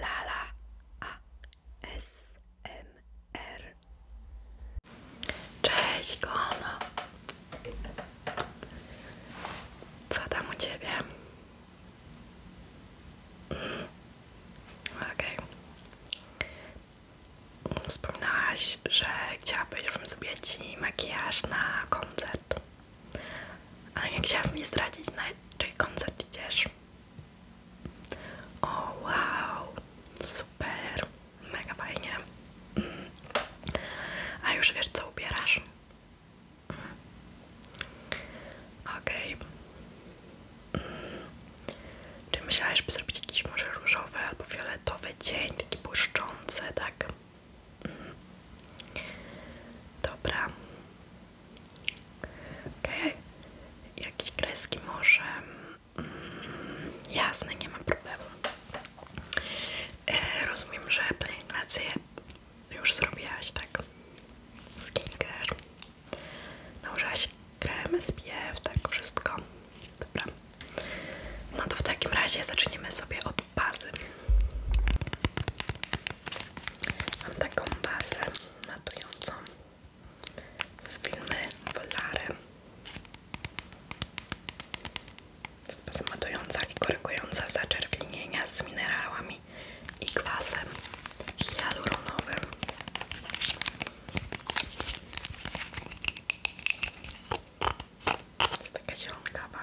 Lala ASMR. Cześć, kochana. Co tam u ciebie? Mm. Okej. Okay. Wspominałaś, że chciałabym zrobić ci makijaż na koncert. Ale nie chciałabym mi zdradzić, na czyj koncert idziesz. O wow, super, mega fajnie. Mm. A już wiesz co ubierasz? Mm. Okay. Czy myślałaś, by zrobić jakiś może różowy albo fioletowy dzień, taki błyszczący, tak? Mm. Dobra. OK, Jakieś kreski może. Mm, jasne, nie ma problemu. E, rozumiem, że pielęgnację już zrobiłaś, tak? Skincare. Nałożyłaś krem, SPF, tak? Wszystko. Dobra. No to w takim razie zaczniemy sobie od bazy. Mam taką bazę matującą z filmy Polary. Zmatująca i korygująca zaczerwienienia z minerałami i kwasem hialuronowym. Jest taka zielonkawa.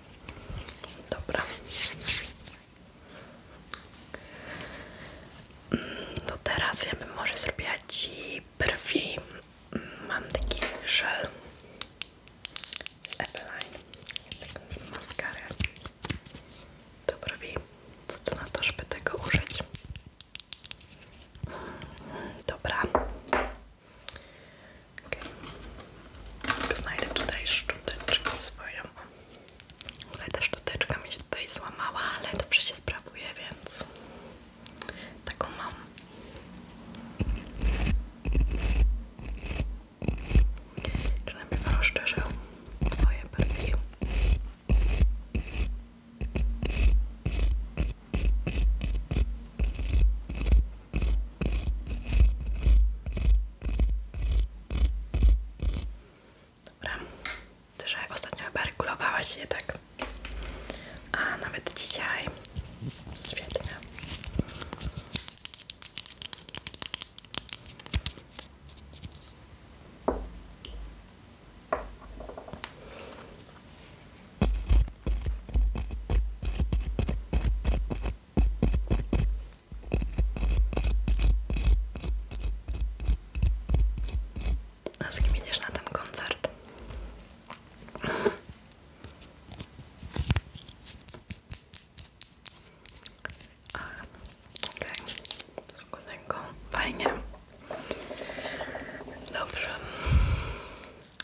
Dobra. No teraz ja bym może zrobiła Ci brwi. Mm, mam taki żel z Eveline. Taką maskarę do brwi. Co to na to, żeby tego użyć? Mm, dobra. Okay. znajdę tutaj szczoteczkę swoją. Ale ta szczoteczka mi się tutaj złamała, ale dobrze się sprawuje, więc taką mam. Czy najpierw rozszerzę moje brwi? Dobra, ty, że ostatnio chyba regulowałaś tak, a nawet dzisiaj świetnie. A z kim idziesz na ten koncert? Okej, okay. z kuzynką. Fajnie. Dobrze.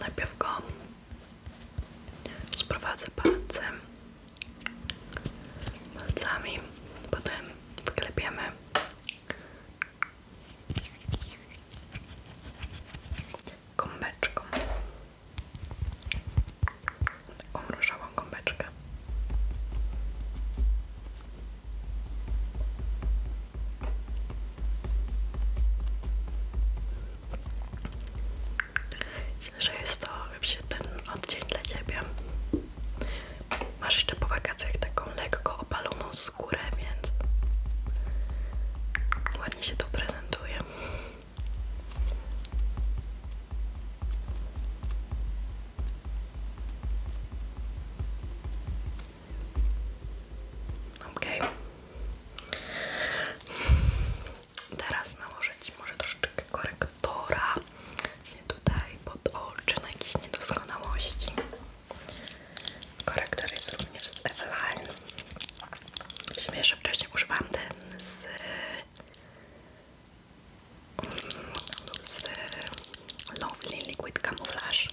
Najpierw go sprowadzę palcem, palcami, potem wklepiemy. Gąbeczką, taką różową Myślę, jest to oczywiście ten odcień dla Ciebie. Masz jeszcze po wakacjach taką lekko opaloną skórę, więc ładnie się to prezentuje. Okej. Teraz nałożyć może troszeczkę korektora się tutaj pod oczy jakieś niedoskonałości. Korektor jest również z Eveline. Myślę, jeszcze wcześniej używałam ten z, z Liquid Camouflage.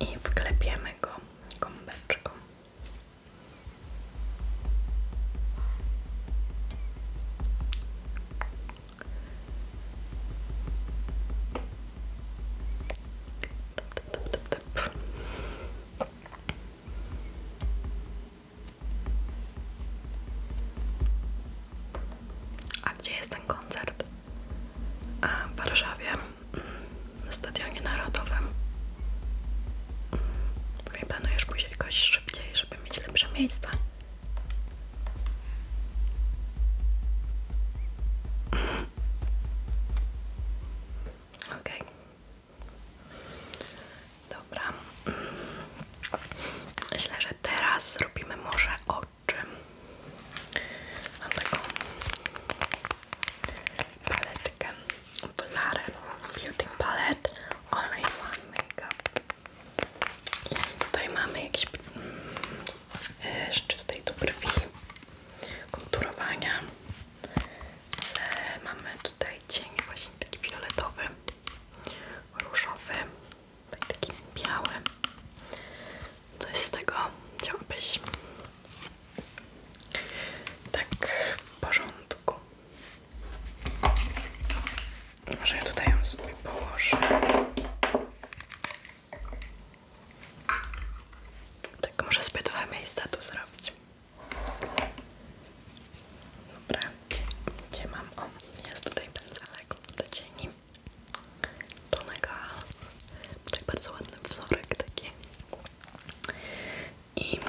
i wklepiemy go gąbeczką. A gdzie jest ten koncert? w Warszawie na Stadionie Narodowym. Pewnie planujesz później jakoś szybciej, żeby mieć lepsze miejsca. Okej. Dobra. Myślę, że teraz zrobimy może oczy oczy. Mam taką paletkę Polare Beauty Palette All in make up, I tutaj mamy jakieś mm, jeszcze tutaj do brwi konturowania. mamy tutaj cień właśnie taki fioletowy, różowy tak, taki biały. Coś z tego chciałbyś Tak, w porządku. Może ja tutaj ją sobie położę. Tak, może sobie trochę miejsca tu zrobić. Dobra, gdzie, mam? O, jest tutaj pędzelek do cieni. To mega tutaj bardzo ładny wzorek taki i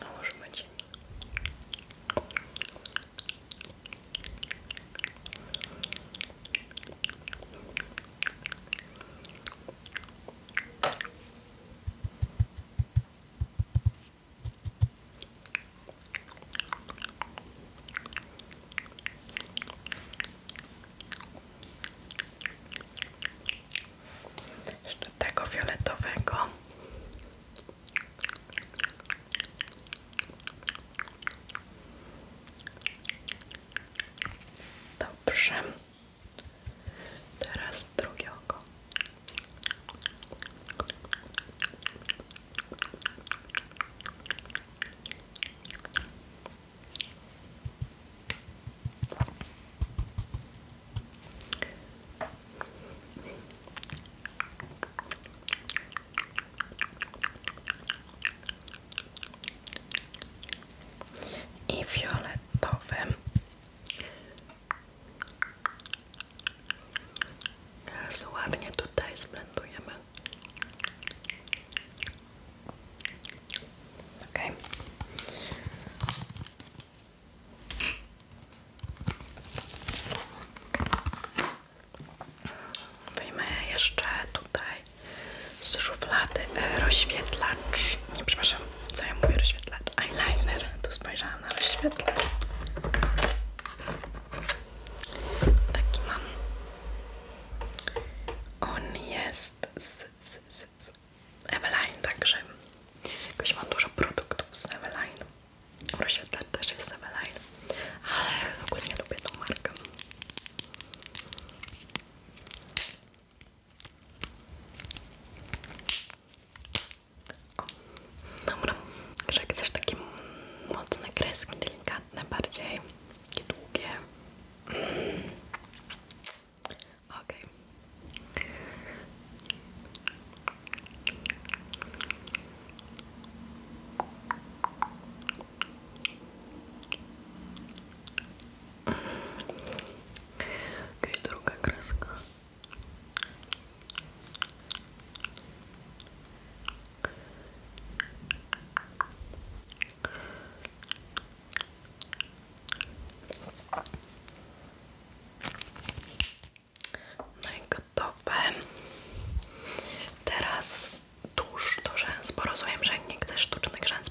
a może być jeszcze tego fioletowego. Dobrze. Teraz drugie oko. I fiolet fioletowym teraz tutaj zblendujemy ok wyjmę jeszcze tutaj z szuflady e, rozświetlacz. Nie, przepraszam, co ja mówię? Rozświetlacz. Eyeliner. Tu spojrzałam na rozświetlacz. Taki mam. On jest z, z, z, z Eveline, także jakoś mam dużo produktów z Eveline. Rozświetlacz też jest z Eveline, ale ogólnie lubię tą markę. O, dobra, że jak chcesz takie kreski, delikatne bardziej i długie. Okej. Okej, okay, No i gotowe. Teraz tuż do rzęs, bo rozumiem, że nie chcesz sztucznych rzęs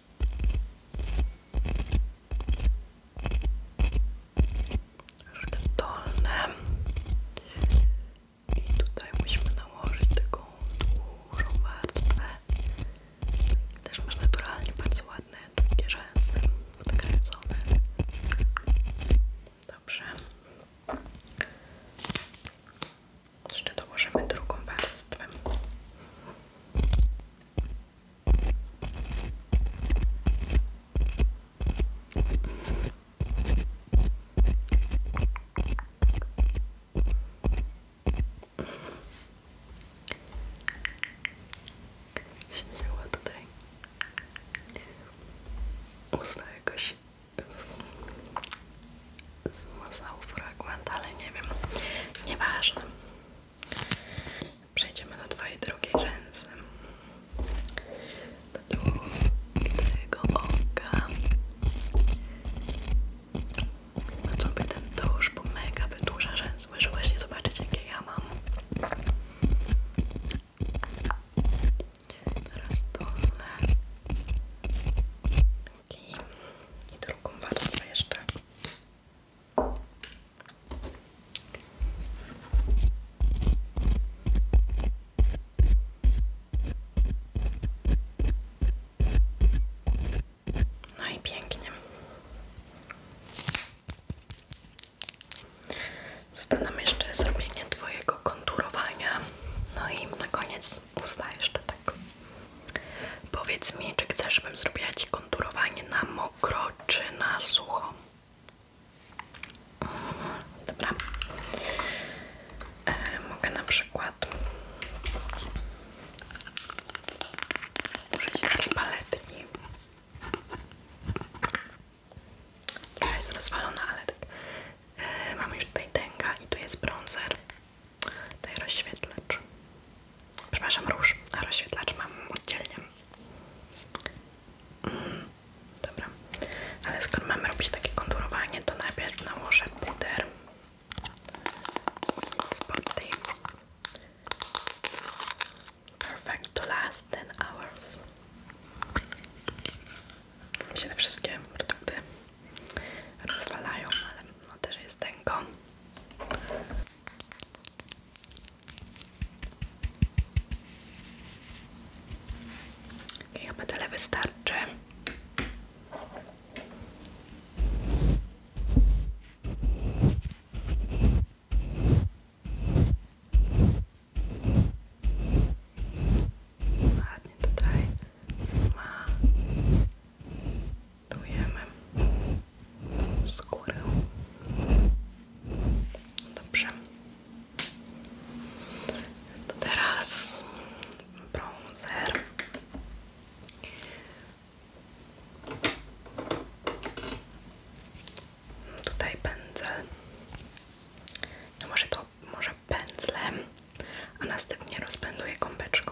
troszkę dolne i tutaj musimy nałożyć taką dużą warstwę też masz naturalnie bardzo ładne, długie rzęsy podkręcone dobrze jeszcze dołożymy drugą warstwę Śmiała tutaj usta jakoś yy, zmazał fragment, ale nie ma, wiem, nieważne Przejdziemy do twojej drugiej rzęsy. Do drugiego oka. A sobie ten tusz, bo mega wydłuża rzęs. Możesz właśnie zobaczyć jakie ja mam. Teraz dolne. I drugą warstwę jeszcze. No i pięknie. Został jeszcze zrobienie Twojego konturowania. No i na koniec usta jeszcze tak. Powiedz mi, czy chcesz, żebym zrobiła Ci konturowanie na mokro czy na sucho? Mhm, dobra. E, mogę na przykład użyć takiej paletki. Która jest rozwalona, ale tak. E, już tutaj tęga i tu jest bronzer. Tutaj rozświetlacz. Przepraszam, róż, a rozświetlacz mam oddzielnie. Mm, dobra, ale skoro mamy robić takie konturowanie, to najpierw nałożę puder z Perfect to last ten hours. Mi się wszystkie produkty rozwalają, ale no też jest tęgo. chyba tyle wystarczy. Ładnie tutaj sma. Tujemy skórę. Dobrze. To teraz bronzer. Tutaj pędzel. No może to może pędzlem, a następnie rozpęduję kąpeczką.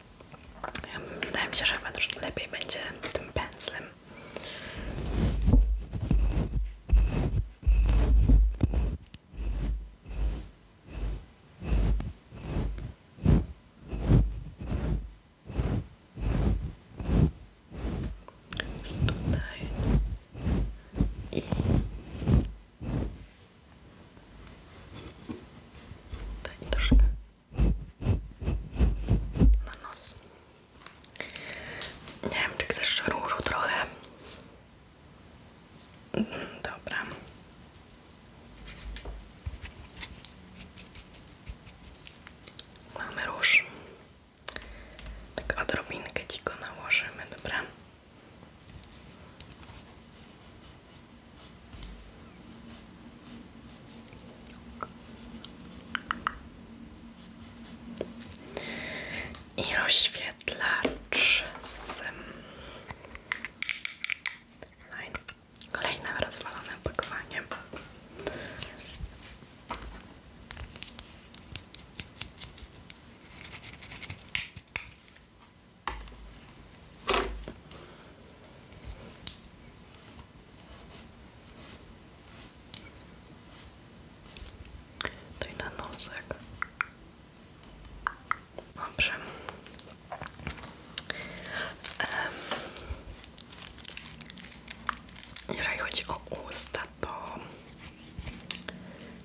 Wydaje mi się, że chyba troszkę lepiej będzie tym pędzlem. Jest tutaj i tutaj troszkę na nos. Nie wiem, czy chcesz różu trochę. Mhm, dobra. Mamy Tak odrobinkę ci nałożymy, dobra? I rozświetlacz z Line. Kolejne rozwalone Tutaj na nosek. Dobrze. Um, jeżeli chodzi to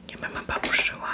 nie będę babuszyła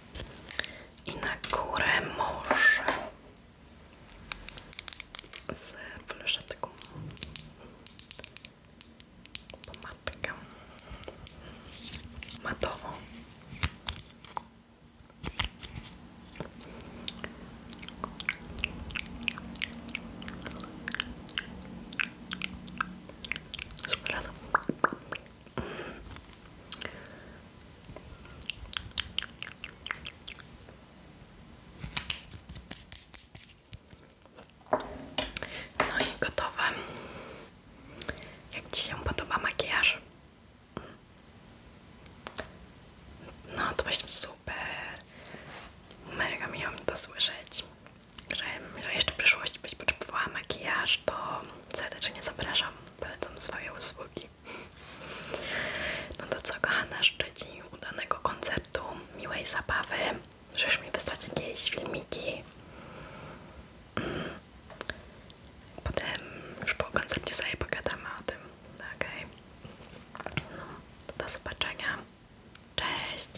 i na górę morze z fluszetką pomadkę matową Super razem. No i gotowe. Jak Ci się podoba makijaż? No to właśnie super. Mega miło mi to słyszeć. Że, że jeszcze w przyszłości byś potrzebowała makijaż, to serdecznie zapraszam polecam swoje usługi. No to co, kochana, życzę udanego koncertu, miłej zabawy. Możesz mi wysłać jakieś filmiki. Mm. Potem już po koncercie sobie pogadamy o tym. Okej. Okay. No, do zobaczenia. Cześć!